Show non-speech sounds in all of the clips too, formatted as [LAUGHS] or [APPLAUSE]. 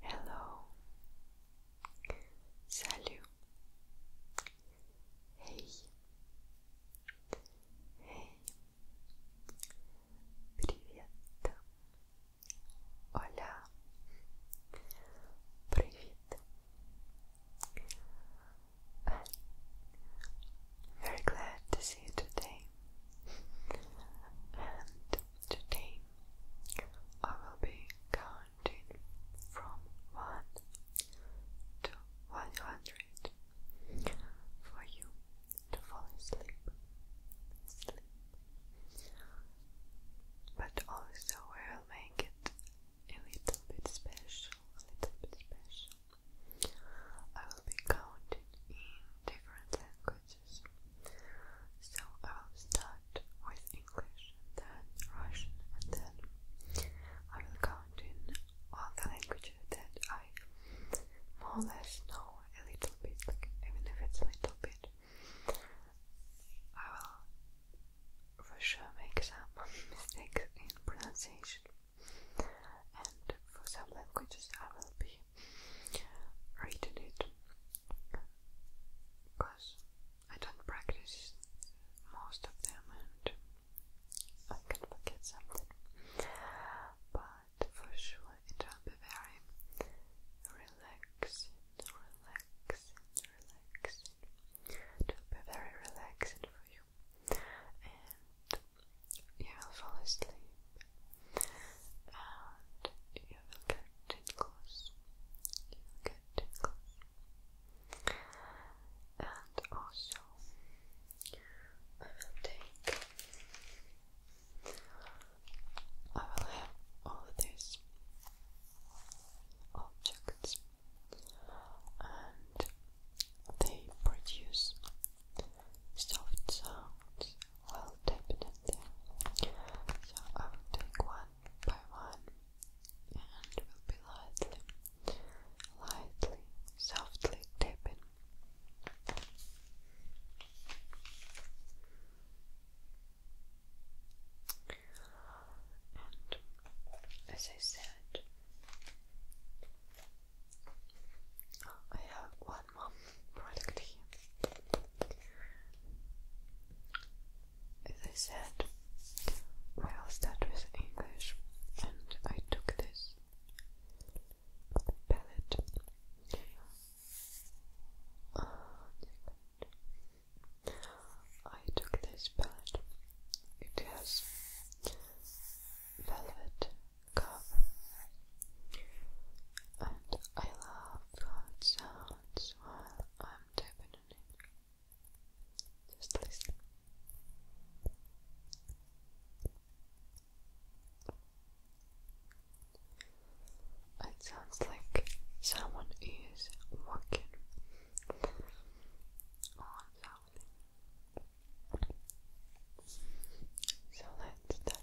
Hello. Salut. Hey. Hey. Привет. Hola. Привет. very glad to see you today. Today I will be counting from 1 to 100 for you to fall asleep. Sleep. But also I will make it a little bit special, a little bit special. I will be counting in different languages. So I will start with English, then Russian, and then I will count in all the languages that I more or less know a little bit, even if it's a little bit. I will for sure make some [LAUGHS] mistakes in pronunciation, and for some languages I will be written it because I don't practice most of them and I can forget something. But for sure it will be very relaxing, relaxing, relaxing. It will be very relaxing for you and you will fall asleep and you will get tingles. You will get tingles. And also, I will take. I will have all these objects, and they produce soft sounds I'll So I will take one by one and will be lightly, lightly, softly tapping. And as I said, I have one kullanmam product'i. As I said, I will with English, and I took this palette. I took this palette. It has velvet cover and um, I love how it sounds I'm tapping Just listen. It sounds like someone is walking on something. So let's start.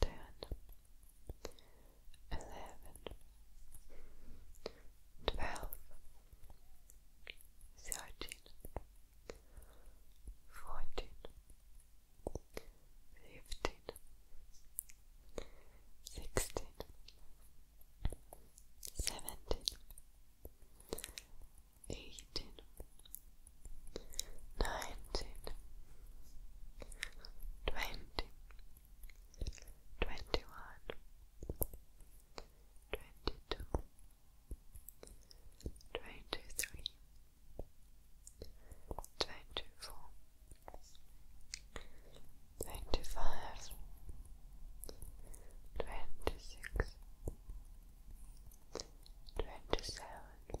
ten, eleven, twelve, thirteen, fourteen, fifteen, sixteen, seventeen, eighteen nineteen, twenty, twenty-one, twenty-two, twenty-three, twenty-four, twenty-five, twenty-six, twenty-seven.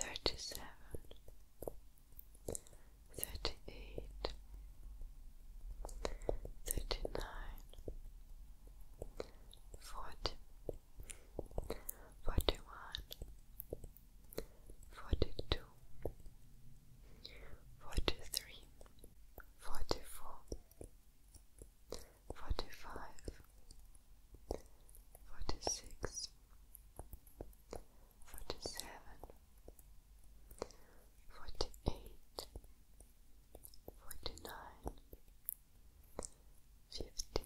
thirty-seven, thirty-eight, thirty-nine, forty, forty-one, forty-two, forty-three, forty-four, forty-five, forty-six forty-seven, forty-eight, forty-nine, fifty,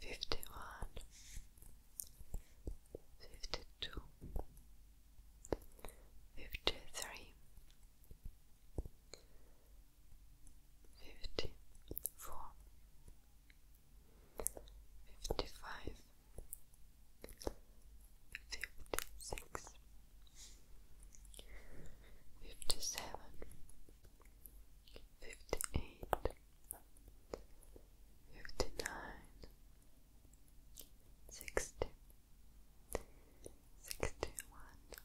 fifty-one, fifty-two, fifty-three. 53 fifty four, fifty five, fifty six, fifty seven, fifty eight, fifty nine, sixty, sixty one.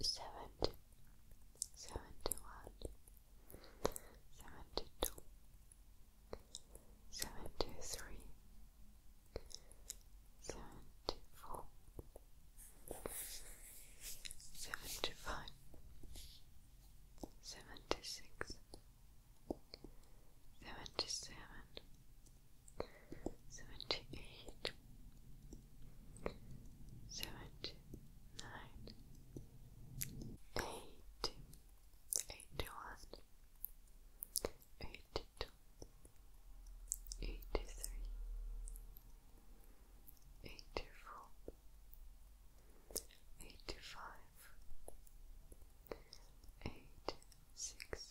seventy, seventy-one, seventy-two, seventy-three, seventy-four, seventy-five, seventy-six, seventy-seven. 78 seventy eight, seventy nine, eighty, eighty one, eighty two, eighty three, eighty four, eighty five, eighty six.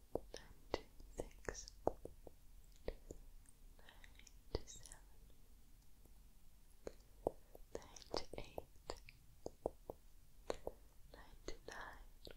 ninety six, ninety seven, ninety eight, ninety nine,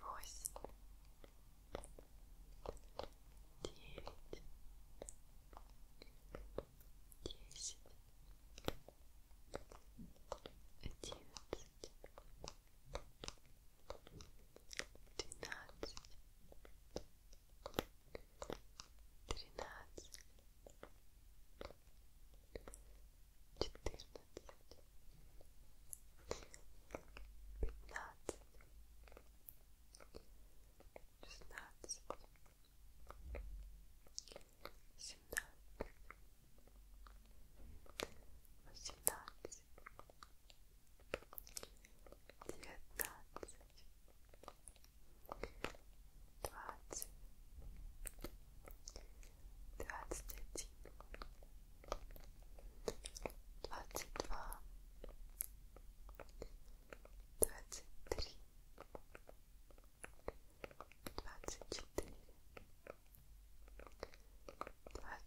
восемь, девять, десять, одиннадцать, двенадцать, тринадцать, четырнадцать, пятнадцать, шестнадцать, семнадцать, восемнадцать, девятнадцать, двадцать. Тридцать, dvaceti, dvacet dva, dvacet tři, dvacet čtyři, dvacet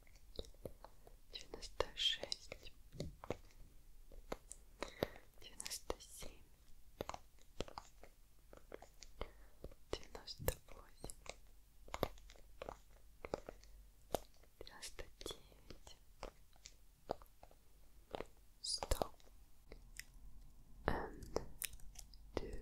девяносто шесть, девяносто семь, девяносто восемь, девяносто девять, сто and two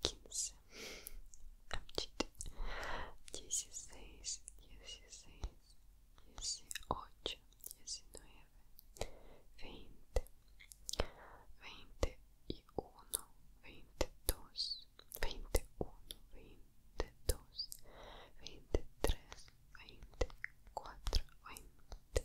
quinze, a medida dezesseis, dezesseis, dezoito, dezenove, vinte, vinte e uno, vinte e e uno, vinte e dois, vinte e três, vinte e quatro, vinte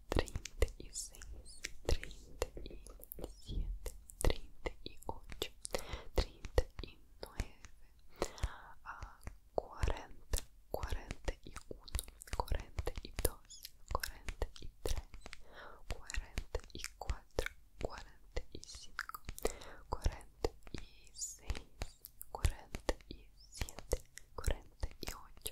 Trinta e seis, trinta e siete, trinta e oito, trinta e nove, quarenta, quarenta e um, quarenta e dois, quarenta e três, quarenta e quatro,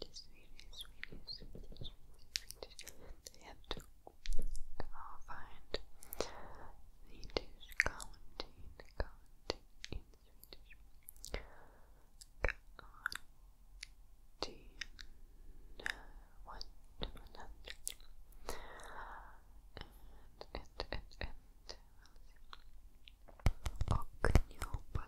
Just release, release, release, release. They have to uh, find Swedish counting, counting in Swedish. Counting one And, and, and, and, we'll see.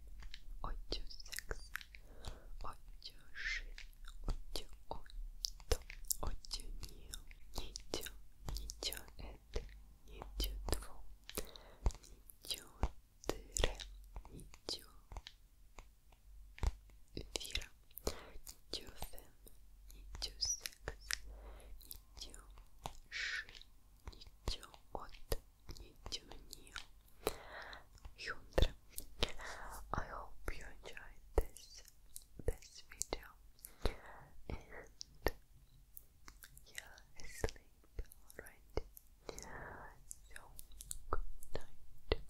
ocho, seis, ocho, sześć, ocho, ocho, ocho, nie, nicio, nicio, et, nicio, dwu, nicio, tyre, nicio, wira, nicio, fem, nicio, seks, nicio, szy, nicio, od, new Hyundai. I hope you enjoyed this this video and yeah, asleep already. So good night, good night,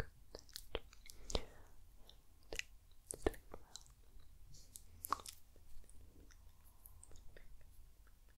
good night. And sleep well.